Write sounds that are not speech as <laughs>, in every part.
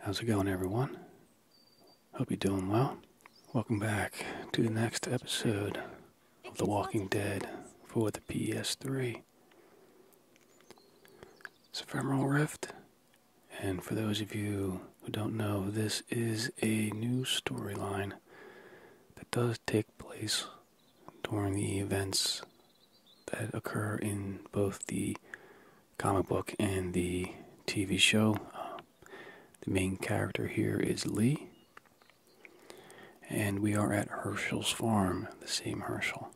How's it going, everyone? Hope you're doing well. Welcome back to the next episode of The Walking Dead for the PS3. It's Ephemeral Rift, and for those of you who don't know, this is a new storyline that does take place during the events that occur in both the comic book and the TV show. Uh, the main character here is Lee. And we are at Herschel's farm, the same Herschel.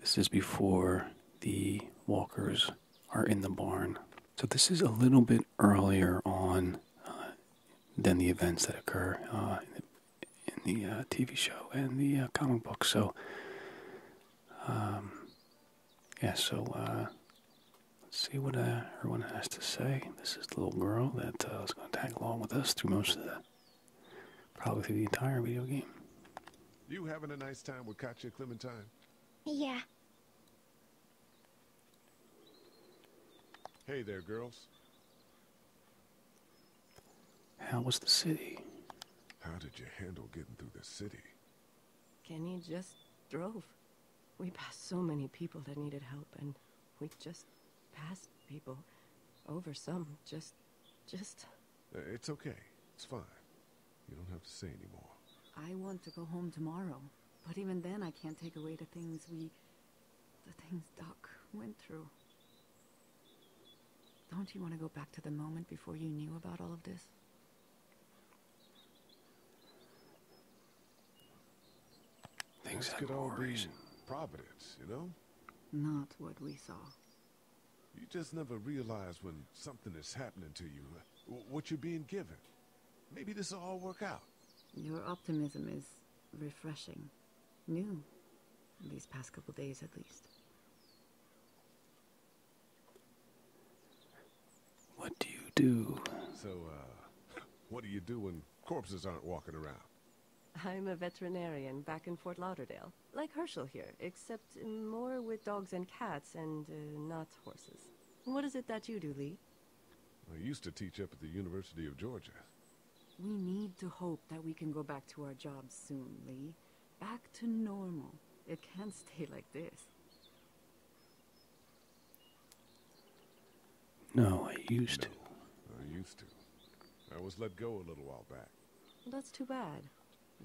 This is before the walkers are in the barn. So this is a little bit earlier on uh, than the events that occur uh, in the TV show and the comic book. So um, yeah, so uh, let's see what uh, everyone has to say. This is the little girl that was uh, going to tag along with us through most of that, probably through the entire video game. You having a nice time with Katya Clementine? Yeah. Hey there, girls. How was the city? How did you handle getting through the city? Kenny just drove. We passed so many people that needed help, and we just passed people. Over some, just... just... Uh, it's okay. It's fine. You don't have to say anymore. I want to go home tomorrow, but even then I can't take away the things we... the things Doc went through. Don't you want to go back to the moment before you knew about all of this? Things this could all be providence, you know? Not what we saw. You just never realize when something is happening to you, uh, what you're being given. Maybe this will all work out. Your optimism is refreshing. New. These past couple days, at least. What do you do? So, uh, <laughs> what do you do when corpses aren't walking around? I'm a veterinarian back in Fort Lauderdale, like Herschel here, except more with dogs and cats and uh, not horses. What is it that you do, Lee? I used to teach up at the University of Georgia. We need to hope that we can go back to our jobs soon, Lee back to normal. It can't stay like this. No, I used to. I used to. I was let go a little while back. That's too bad.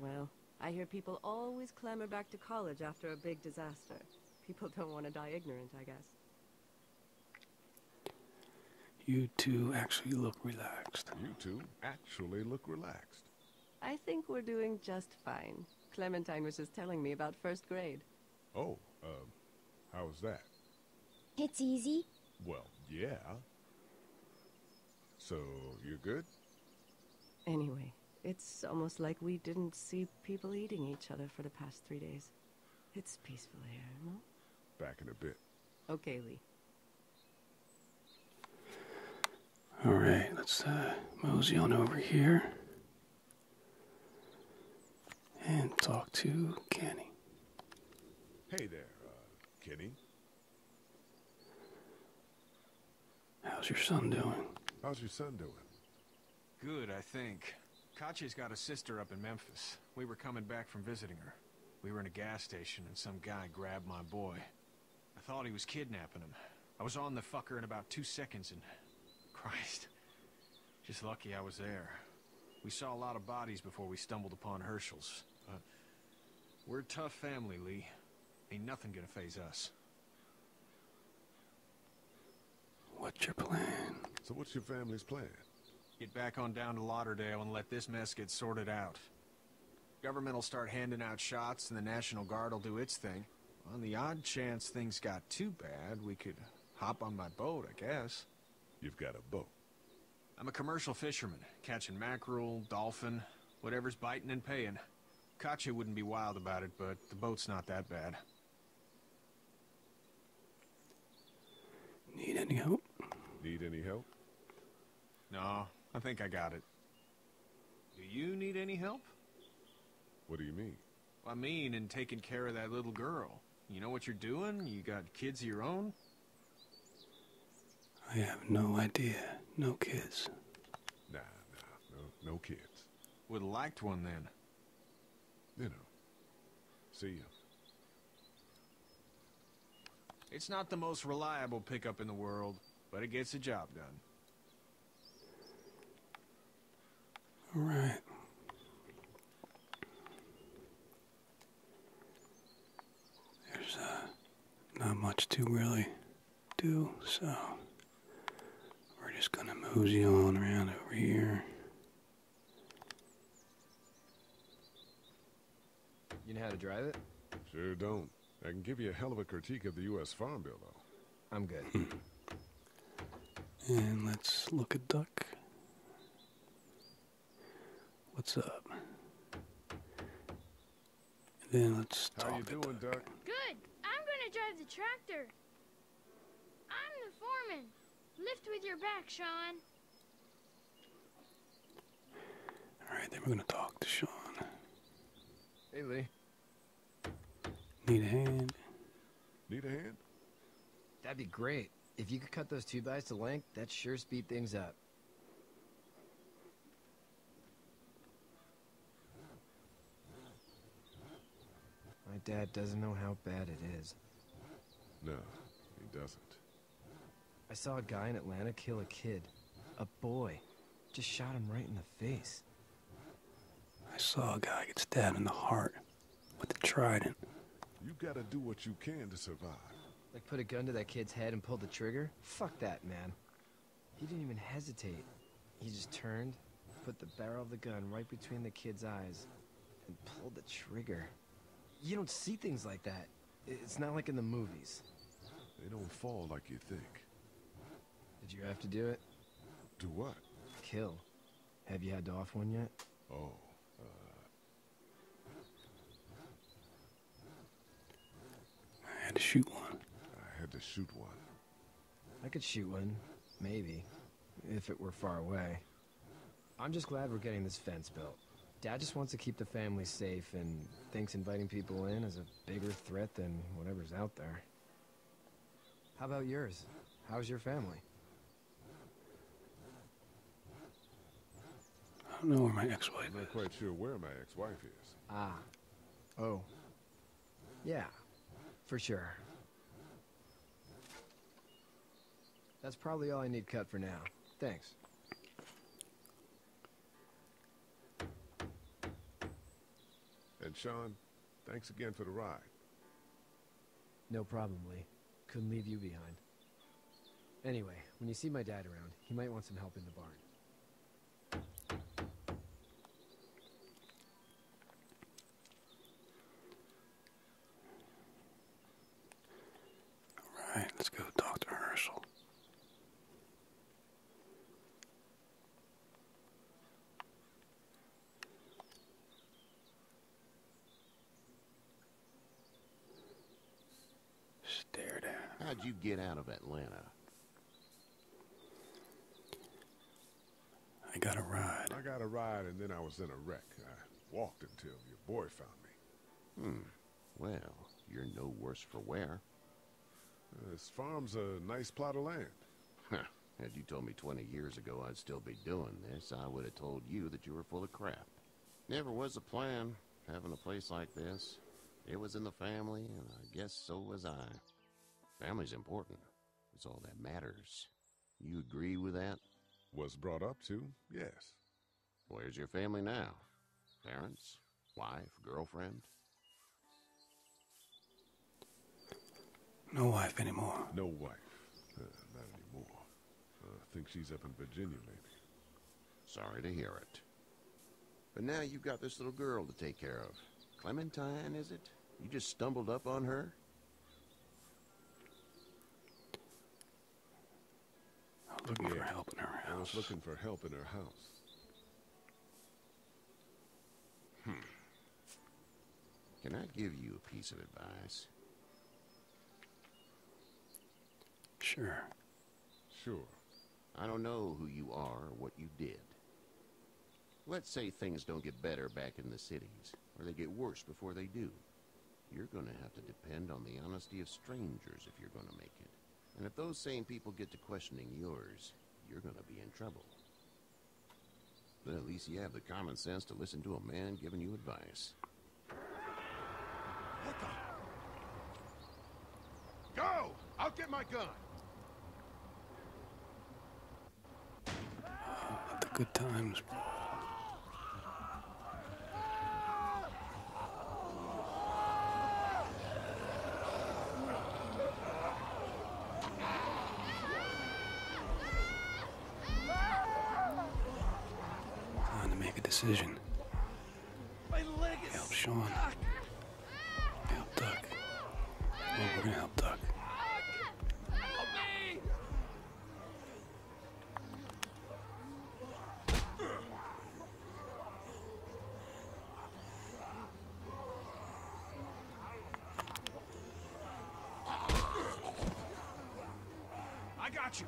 Well, I hear people always clamor back to college after a big disaster. People don't want to die ignorant, I guess. You two actually look relaxed. You two actually look relaxed. I think we're doing just fine. Clementine was just telling me about first grade. Oh, uh, how's that? It's easy. Well, yeah. So, you're good? Anyway, it's almost like we didn't see people eating each other for the past three days. It's peaceful here, Back in a bit. Okay, Lee. All right, let's uh, mosey on over here and talk to Kenny. Hey there, uh, Kenny. How's your son doing? How's your son doing? Good, I think. Kachi's got a sister up in Memphis. We were coming back from visiting her. We were in a gas station and some guy grabbed my boy. I thought he was kidnapping him. I was on the fucker in about two seconds and... Christ. Just lucky I was there. We saw a lot of bodies before we stumbled upon Herschel's. But we're tough family, Lee. Ain't nothing gonna faze us. What's your plan? So what's your family's plan? Get back on down to Lauderdale and let this mess get sorted out. Government will start handing out shots, and the National Guard will do its thing. On the odd chance things got too bad, we could hop on my boat, I guess. You've got a boat? I'm a commercial fisherman, catching mackerel, dolphin, whatever's biting and paying. Katya wouldn't be wild about it, but the boat's not that bad. Need any help? Need any help? No, I think I got it. Do you need any help? What do you mean? I mean in taking care of that little girl. You know what you're doing? You got kids of your own? I have no idea. No kids. Nah, nah, no, no kids. Would have liked one then. You know. See you. It's not the most reliable pickup in the world, but it gets the job done. All right. There's uh, not much to really do, so we're just going to mosey on around over here. You know how to drive it? Sure don't. I can give you a hell of a critique of the U.S. Farm Bill, though. I'm good. Hmm. and let's look at Duck. What's up? And then let's How talk you doing, Duck? Good. I'm going to drive the tractor. I'm the foreman. Lift with your back, Sean. All right, then we're gonna talk to Sean. Hey, Lee. Need a hand? Need a hand? That'd be great. If you could cut those two guys to length, that sure speed things up. My dad doesn't know how bad it is. No, he doesn't. I saw a guy in Atlanta kill a kid. A boy. Just shot him right in the face. I saw a guy get stabbed in the heart with a trident. You gotta do what you can to survive. Like put a gun to that kid's head and pull the trigger? Fuck that, man. He didn't even hesitate. He just turned, put the barrel of the gun right between the kid's eyes, and pulled the trigger. You don't see things like that. It's not like in the movies. They don't fall like you think. Did you have to do it? Do what? Kill. Have you had to off one yet? Oh, uh, I had to shoot one. I had to shoot one. I could shoot one, maybe, if it were far away. I'm just glad we're getting this fence built. Dad just wants to keep the family safe and thinks inviting people in is a bigger threat than whatever's out there. How about yours? How's your family? I don't know where my ex-wife is. I'm not quite sure where my ex-wife is. Ah. Oh. Yeah. For sure. That's probably all I need cut for now. Thanks. And Sean, thanks again for the ride. No problem, Lee. Couldn't leave you behind. Anyway, when you see my dad around, he might want some help in the barn. All right, let's go Dr. Herschel. Stare down. How'd you get out of Atlanta? I got a ride. I got a ride, and then I was in a wreck. I walked until your boy found me. Hmm. Well, you're no worse for wear. This farm's a nice plot of land. Huh. Had you told me 20 years ago I'd still be doing this, I would have told you that you were full of crap. Never was a plan, having a place like this. It was in the family, and I guess so was I. Family's important. It's all that matters. You agree with that? Was brought up to, yes. Where's your family now? Parents? Wife? Girlfriend? No wife anymore. No wife. Uh, not anymore. Uh, I think she's up in Virginia, maybe. Sorry to hear it. But now you've got this little girl to take care of. Clementine, is it? You just stumbled up on her? I was looking for help in her house. for help in her house. Hmm. Can I give you a piece of advice? Sure. Sure. I don't know who you are or what you did. Let's say things don't get better back in the cities, or they get worse before they do. You're gonna have to depend on the honesty of strangers if you're gonna make it. And if those same people get to questioning yours, you're gonna be in trouble. But at least you have the common sense to listen to a man giving you advice. What the? Go! I'll get my gun! The good times. Time to make a decision. Help Sean. Help Duck. Well, we're gonna help Duck. I got you.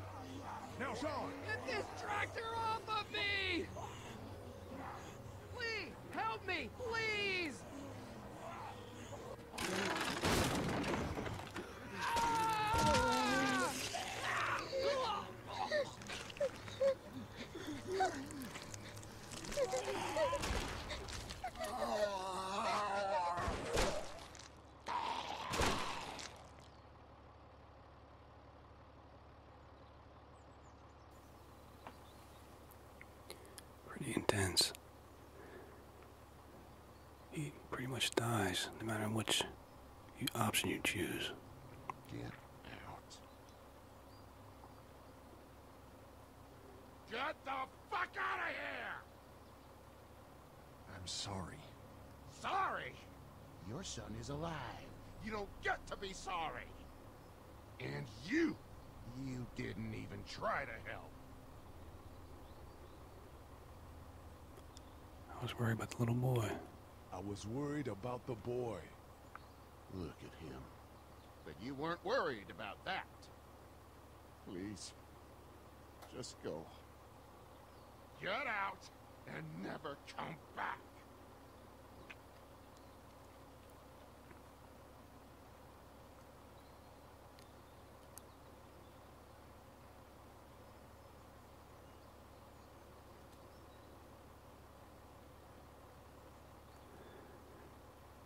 Now, Sean. Get this tractor off of me! Please, help me, please! Ah! Ah! Pretty intense. He pretty much dies no matter which you option you choose. Get out. Get the fuck out of here! I'm sorry. Sorry? Your son is alive. You don't get to be sorry. And you, you didn't even try to help. I was worried about the little boy. I was worried about the boy. Look at him. But you weren't worried about that. Please. Just go. Get out and never come back.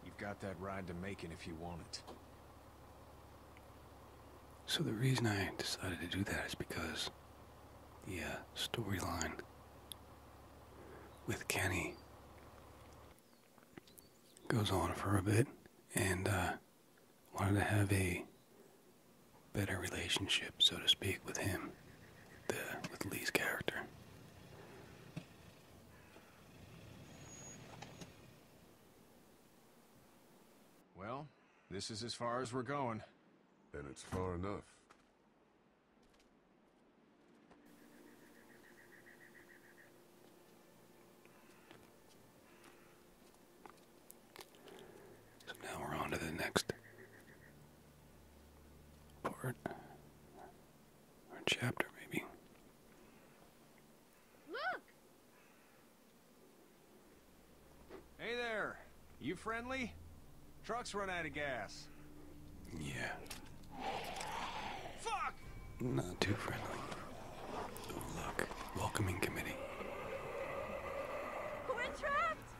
You've got that ride to Macon if you want it. So the reason I decided to do that is because the uh, storyline with Kenny goes on for a bit, and uh, wanted to have a better relationship, so to speak, with him, the, with Lee's character. Well, this is as far as we're going. Then it's far enough. So now we're on to the next part or chapter, maybe. Look! Hey there! You friendly? Truck's run out of gas. Yeah. Fuck! Not too friendly. look. Welcoming committee. We're trapped!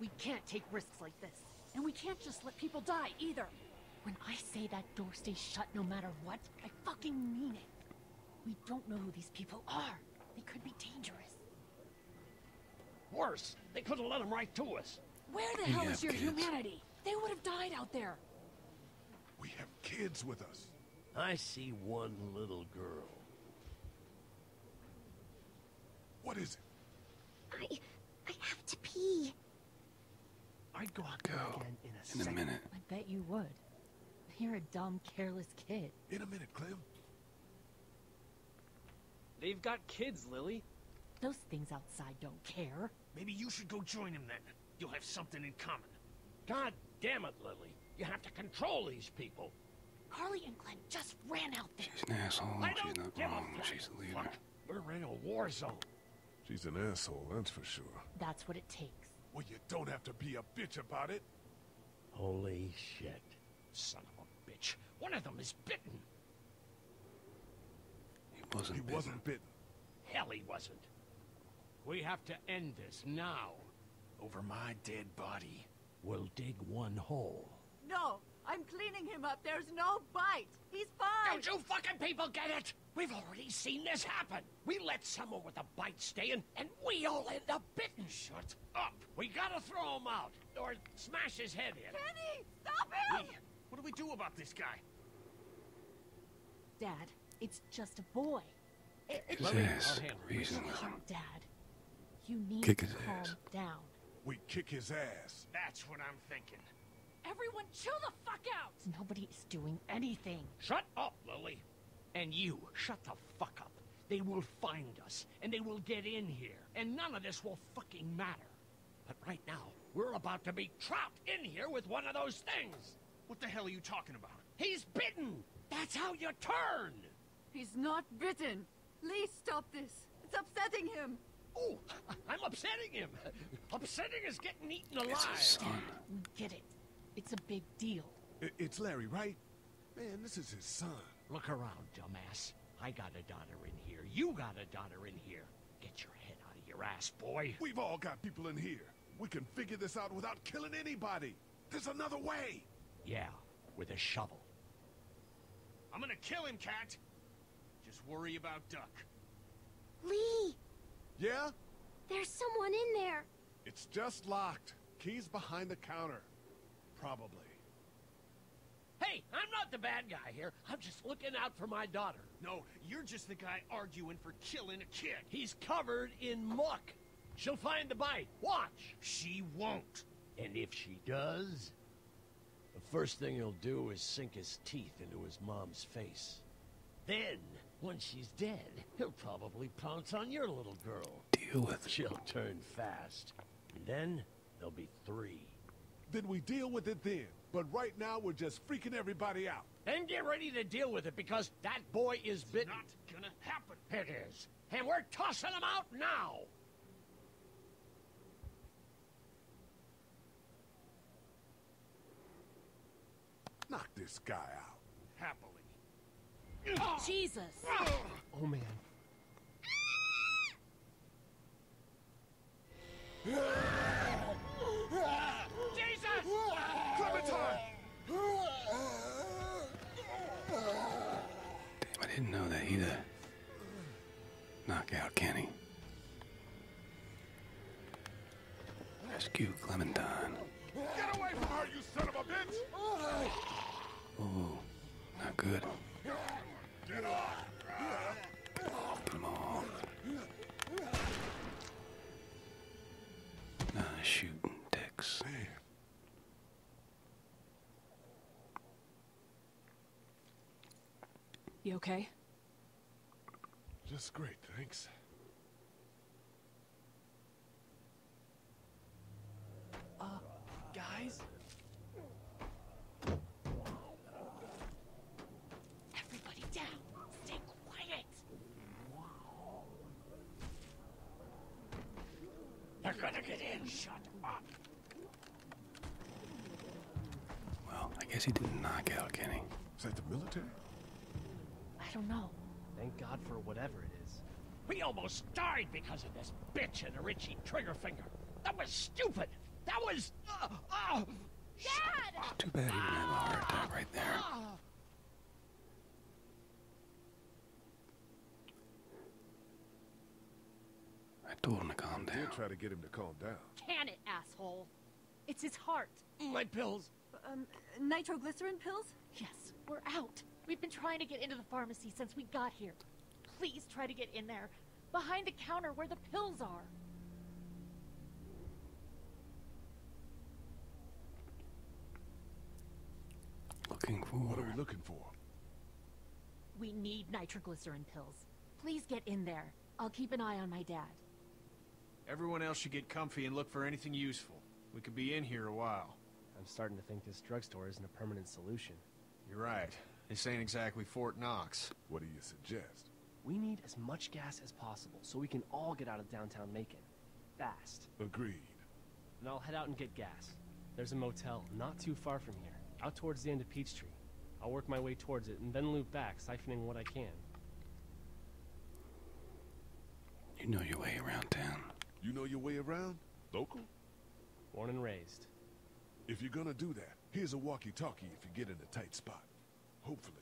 We can't take risks like this. And we can't just let people die, either. When I say that door stays shut no matter what, I fucking mean it. We don't know who these people are. They could be dangerous. Worse, they could have let them right to us. Where the hell is your humanity? They would have died out there. We have kids with us. I see one little girl. What is it? I... I have to pee. I'd go out go again in a, in a minute. I bet you would. You're a dumb, careless kid. In a minute, Clem. They've got kids, Lily. Those things outside don't care. Maybe you should go join them then. You'll have something in common. God damn it, Lily. You have to control these people. Carly and Glenn just ran out there. She's an asshole. She's not wrong. She's a leader. We're in a war zone. She's an asshole, that's for sure. That's what it takes. Well, you don't have to be a bitch about it. Holy shit. Son of a bitch. One of them is bitten. He wasn't he wasn't bitten. Hell, he wasn't. We have to end this now. Over my dead body. We'll dig one hole. No, I'm cleaning him up. There's no bite. He's fine. Don't you fucking people get it? We've already seen this happen. We let someone with a bite stay in, and we all end up bitten. Shut up. We gotta throw him out, or smash his head in. Kenny, stop him! what do we do about this guy? Dad, it's just a boy. It, it, reason. reasonable. Dad, you need kick to his calm ass. down. We kick his ass. That's what I'm thinking. Everyone chill the fuck out! Nobody is doing anything. Shut up, Lily. And you, shut the fuck up. They will find us, and they will get in here, and none of this will fucking matter. But right now, we're about to be trapped in here with one of those things. What the hell are you talking about? He's bitten! That's how you turn! He's not bitten! Lee, stop this! It's upsetting him! Oh, <laughs> I'm upsetting him! upsetting is getting eaten alive! It's his son. get it. It's a big deal. it's Larry, right? Man, this is his son. Look around, dumbass. I got a daughter in here. You got a daughter in here. Get your head out of your ass, boy. We've all got people in here. We can figure this out without killing anybody. There's another way! Yeah, with a shovel. I'm gonna kill him, Cat! Just worry about Duck. Lee! Yeah? There's someone in there. It's just locked. Key's behind the counter. Probably. Hey, I'm not the bad guy here. I'm just looking out for my daughter. No, you're just the guy arguing for killing a kid. He's covered in muck. She'll find the bite. Watch. She won't. And if she does, the first thing he'll do is sink his teeth into his mom's face. Then, once she's dead, he'll probably pounce on your little girl. Deal with She'll turn fast. then, there'll be three. Then we deal with it then. But right now, we're just freaking everybody out. Then get ready to deal with it, because that boy is bitten. It's not gonna happen. It is and we're tossing them out now. Knock this guy out. Happily. Jesus. Oh, man. Jesus! Clementine! <laughs> Damn, I didn't know that he'd a knockout, can he? Rescue Clementine. Get away from her, you son of a bitch! Oh, not good. Get off! Get him off. shooting dicks. You okay? Just great, thanks. Uh, guys? Everybody down! Stay quiet! They're gonna get in. Shut up. Well, I guess he didn't knock out Kenny. Is that the military? I don't know. Thank God for whatever it is. We almost died because of this bitch and a Richie Triggerfinger. That was stupid. That was. Uh, uh. Dad! too bad he didn't have a heart attack right there. Ah. I told him to calm down. Try to get him to calm down. Can it, asshole? It's his heart. My pills. Um, nitroglycerin pills? Yes, we're out. We've been trying to get into the pharmacy since we got here. Please try to get in there. Behind the counter where the pills are. Looking for. What are we looking for? We need nitroglycerin pills. Please get in there. I'll keep an eye on my dad. Everyone else should get comfy and look for anything useful. We could be in here a while. I'm starting to think this drugstore isn't a permanent solution. You're right. This ain't exactly Fort Knox. What do you suggest? We need as much gas as possible so we can all get out of downtown Macon. Fast. Agree. And I'll head out and get gas. There's a motel, not too far from here, out towards the end of Peachtree. I'll work my way towards it and then loop back, siphoning what I can. You know your way around town. You know your way around? Local? Born and raised. If you're gonna do that, here's a walkie-talkie if you get in a tight spot. Hopefully,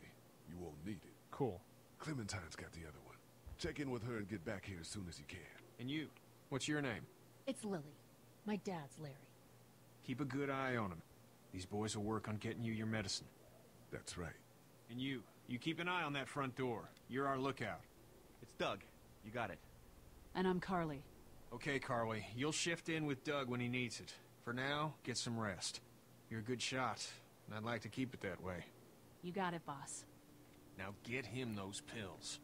you won't need it. Cool. Clementine's got the other one. Check in with her and get back here as soon as you can. And you, what's your name? It's Lily. My dad's Larry. Keep a good eye on him. These boys will work on getting you your medicine. That's right. And you, you keep an eye on that front door. You're our lookout. It's Doug. You got it. And I'm Carly. Okay, Carly. You'll shift in with Doug when he needs it. For now, get some rest. You're a good shot, and I'd like to keep it that way. You got it, boss. Now get him those pills.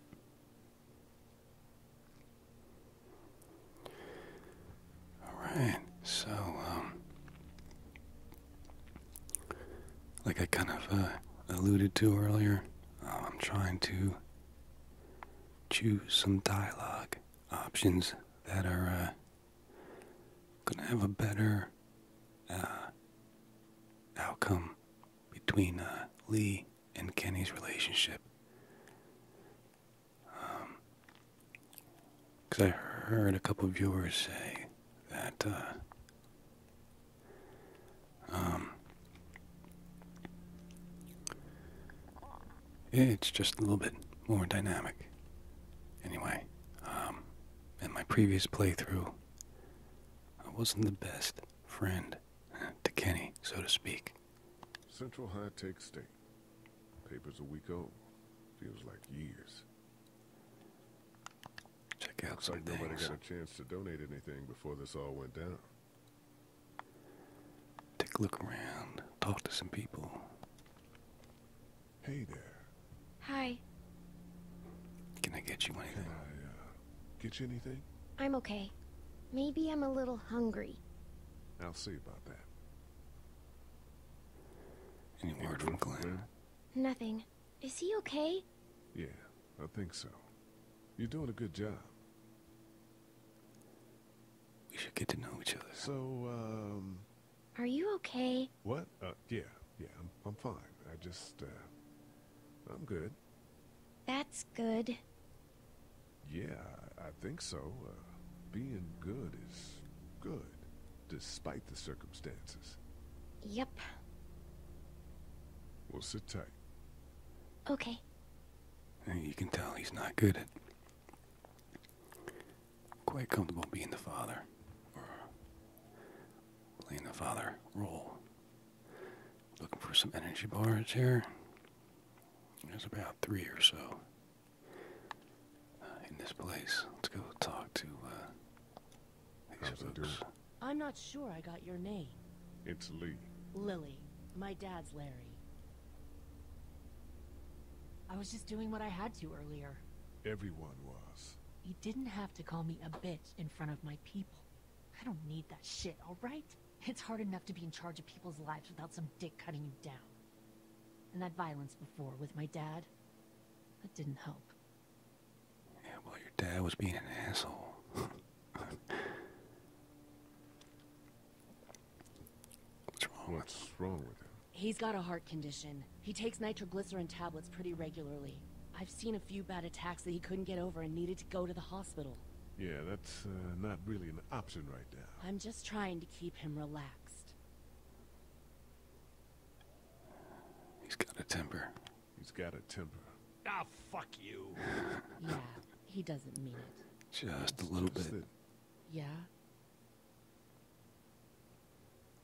Alright, so, um, Like I kind of uh, alluded to earlier, uh, I'm trying to choose some dialogue options that are uh, going to have a better outcome between uh, Lee and Kenny's relationship. Because um, I heard a couple viewers say that uh, um, it's just a little bit more dynamic. Anyway, um, in my previous playthrough, I wasn't the best friend to Kenny, so to speak. Central High Tech State. Paper's a week old. Feels like years. Check out Looks like Nobody got a chance to donate anything before this all went down. Take a look around. Talk to some people. Hey there. Hi. Can I get you anything? Get you anything? I'm okay. Maybe I'm a little hungry. I'll see about that. Any word from Glenn? Nothing. Is he okay? Yeah, I think so. You're doing a good job. We should get to know each other. So, um... Are you okay? What? Uh, yeah, yeah, I'm, I'm fine. I just, uh... I'm good. That's good. Yeah, I think so. Uh, being good is good, despite the circumstances. Yep. We'll sit tight. Okay. And You can tell he's not good at... Quite comfortable being the father. Or playing the father role. Looking for some energy bars here. There's about three or so uh, in this place. Let's go talk to uh, these folks. I'm not sure I got your name. It's Lee. Lily. My dad's Larry. I was just doing what I had to earlier. Everyone was. You didn't have to call me a bitch in front of my people. I don't need that shit, alright? It's hard enough to be in charge of people's lives without some dick cutting you down. And that violence before with my dad, that didn't help. Yeah, well, your dad was being an asshole. <laughs> What's wrong with him? He's got a heart condition. He takes nitroglycerin tablets pretty regularly. I've seen a few bad attacks that he couldn't get over and needed to go to the hospital. Yeah, that's uh, not really an option right now. I'm just trying to keep him relaxed. He's got a temper. He's got a temper. Ah, fuck you. <laughs> yeah, he doesn't mean it. Just a little bit. Yeah?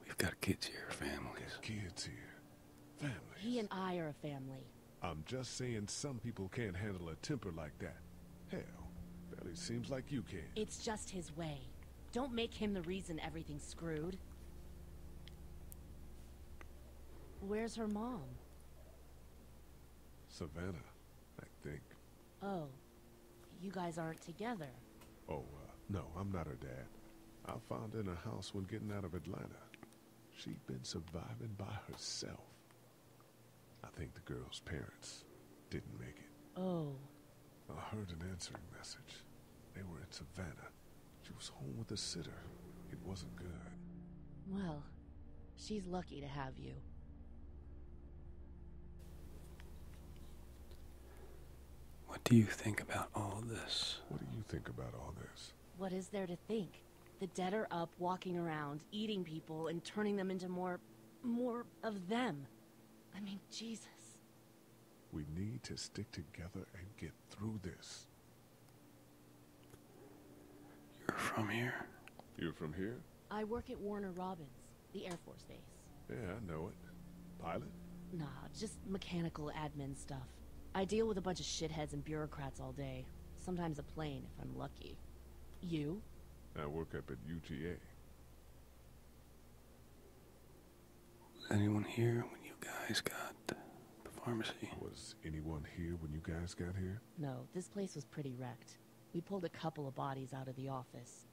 We've got kids here, families. Kids here. He and I are a family. I'm just saying some people can't handle a temper like that. Hell, barely seems like you can. It's just his way. Don't make him the reason everything's screwed. Where's her mom? Savannah, I think. Oh, you guys aren't together. Oh, uh, no, I'm not her dad. I found her in a house when getting out of Atlanta. She'd been surviving by herself. I think the girl's parents didn't make it. Oh. I heard an answering message. They were in Savannah. She was home with a sitter. It wasn't good. Well, she's lucky to have you. What do you think about all this? What do you think about all this? What is there to think? The dead are up, walking around, eating people, and turning them into more... more of them. I mean, Jesus. We need to stick together and get through this. You're from here? You're from here? I work at Warner Robins, the Air Force Base. Yeah, I know it. Pilot? Nah, just mechanical admin stuff. I deal with a bunch of shitheads and bureaucrats all day. Sometimes a plane, if I'm lucky. You? I work up at UTA. Anyone here when you guys got the pharmacy? Was anyone here when you guys got here? No, this place was pretty wrecked. We pulled a couple of bodies out of the office.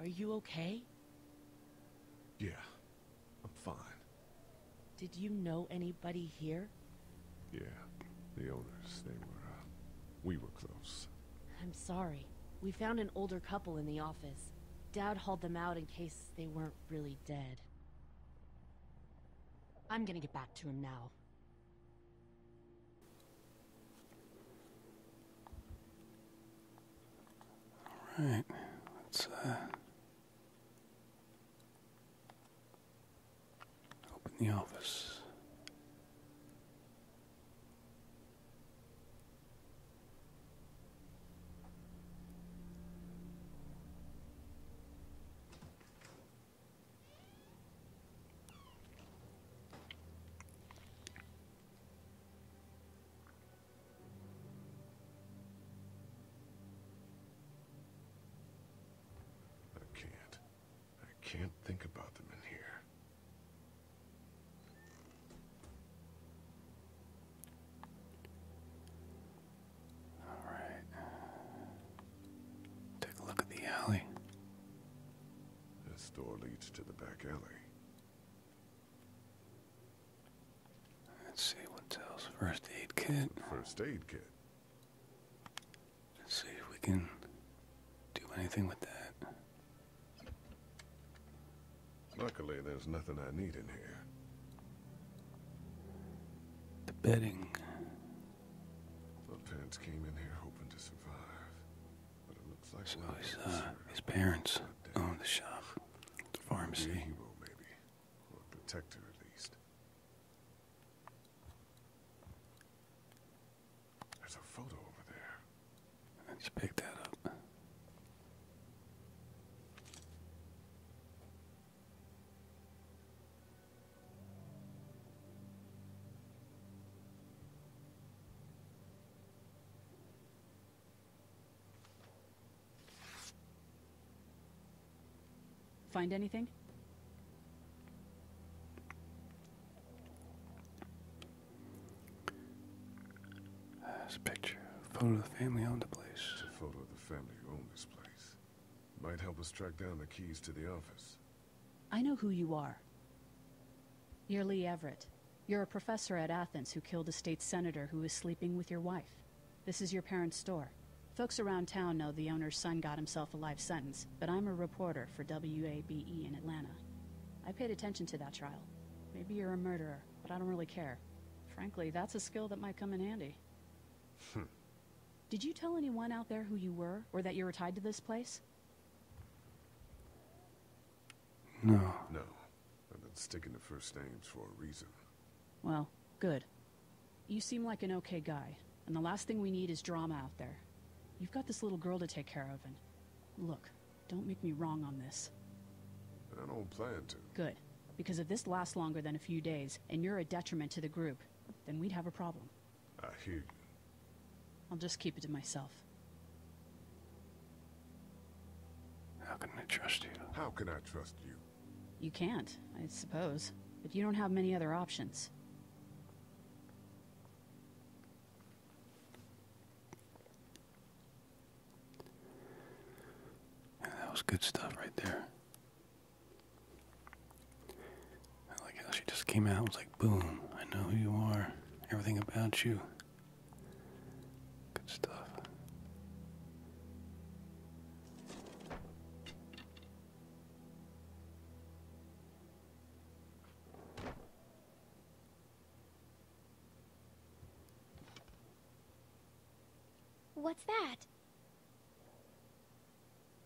Are you okay? Yeah, I'm fine. Did you know anybody here? Yeah, the owners, they were, uh, we were close. I'm sorry. We found an older couple in the office. Dad hauled them out in case they weren't really dead. I'm gonna get back to him now. Alright, let's, uh... Open the office. I can't. I can't think about them in here. All right. Take a look at the alley. This door leads to the back alley. Let's see what else. First aid kit. First aid kit. Let's see if we can do anything with that. Luckily, there's nothing I need in here. The bedding. My parents came in here hoping to survive, but it looks like so his, uh, his parents own the shop. The pharmacy. Be a maybe. Or a protector, at least. There's a photo over there. let pick that up. Find anything? There's a picture, a photo of the family owned the place. A photo of the family who owned this place. Might help us track down the keys to the office. I know who you are. You're Lee Everett. You're a professor at Athens who killed a state senator who was sleeping with your wife. This is your parents' store. Folks around town know the owner's son got himself a life sentence, but I'm a reporter for WABE in Atlanta. I paid attention to that trial. Maybe you're a murderer, but I don't really care. Frankly, that's a skill that might come in handy. Hmm. Did you tell anyone out there who you were, or that you were tied to this place? No. No. I've been sticking to first names for a reason. Well, good. You seem like an okay guy, and the last thing we need is drama out there. You've got this little girl to take care of, and... Look, don't make me wrong on this. I don't plan to. Good. Because if this lasts longer than a few days, and you're a detriment to the group, then we'd have a problem. I'll just keep it to myself. How can I trust you? How can I trust you? You can't, I suppose. But you don't have many other options. that was good stuff right there. I like how she just came out and was like, boom, I know who you are, everything about you. Good stuff. What's that?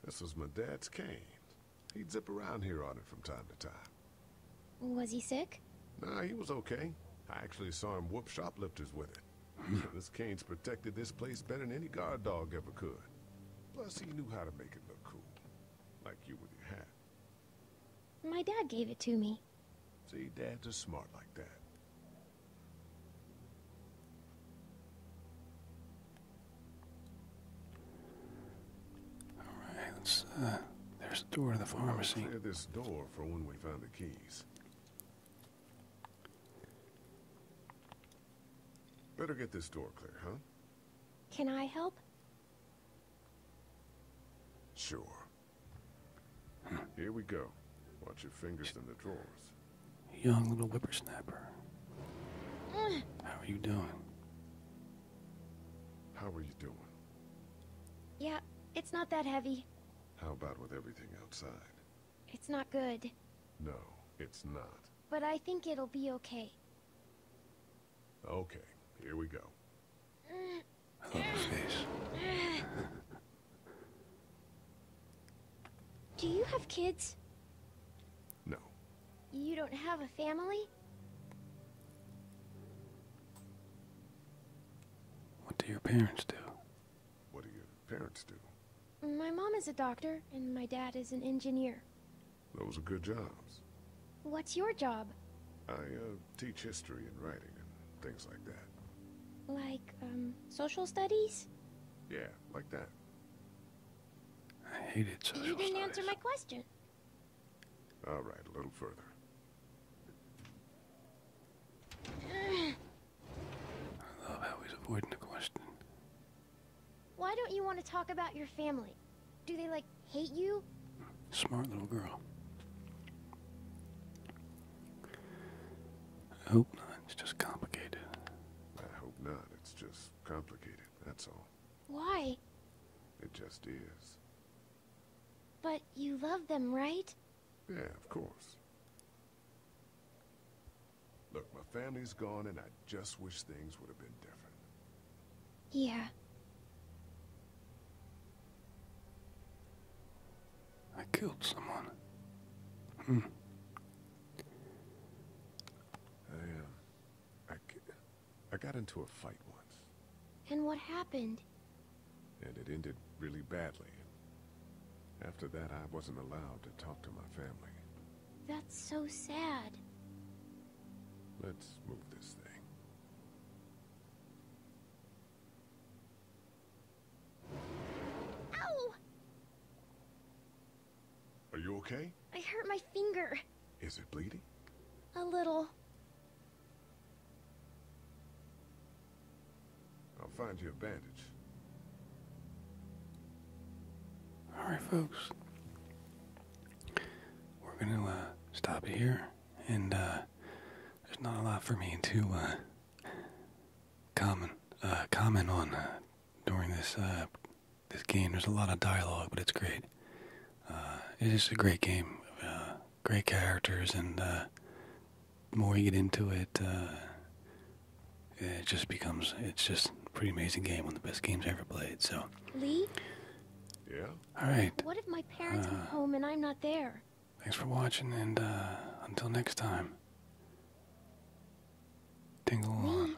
This was my dad's cane. He'd zip around here on it from time to time. Was he sick? Nah, he was okay. I actually saw him whoop shoplifters with it. Hmm. this cane's protected this place better than any guard dog ever could. Plus, he knew how to make it look cool. Like you with your hat. My dad gave it to me. See, dads are smart like that. All right, let's, uh, there's the door to the pharmacy. this door for when we find the keys. Better get this door clear, huh? Can I help? Sure. Here we go. Watch your fingers in the drawers. Young little whippersnapper. How are you doing? How are you doing? Yeah, it's not that heavy. How about with everything outside? It's not good. No, it's not. But I think it'll be okay. Okay, here we go. Oh, Do you have kids? No. You don't have a family? What do your parents do? What do your parents do? My mom is a doctor, and my dad is an engineer. Those are good jobs. What's your job? I, uh, teach history and writing and things like that. Like, um, social studies? Yeah, like that. I hated social You didn't answer my question. All right, a little further. I love how he's avoiding the question. Why don't you want to talk about your family? Do they, like, hate you? Smart little girl. I hope not. It's just complicated. I hope not. It's just complicated. That's all. Why? It just is. But you love them, right? Yeah, of course. Look, my family's gone and I just wish things would have been different. Yeah. I killed someone. Hmm. I, um, I, I got into a fight once. And what happened? And it ended really badly. After that, I wasn't allowed to talk to my family. That's so sad. Let's move this thing. Ow! Are you okay? I hurt my finger. Is it bleeding? A little. I'll find you a bandage. All right, folks. We're gonna uh, stop here, and uh, there's not a lot for me to uh, comment comment on during this this game. There's a lot of dialogue, but it's great. it's a great game great characters, and uh, the more you get into it, uh, it just becomes it's just a pretty amazing game, one of the best games I ever played. So. Lee. Yeah. All right. What if my parents uh, are home and I'm not there? Thanks for watching, and uh, until next time. Tingle Lee. on.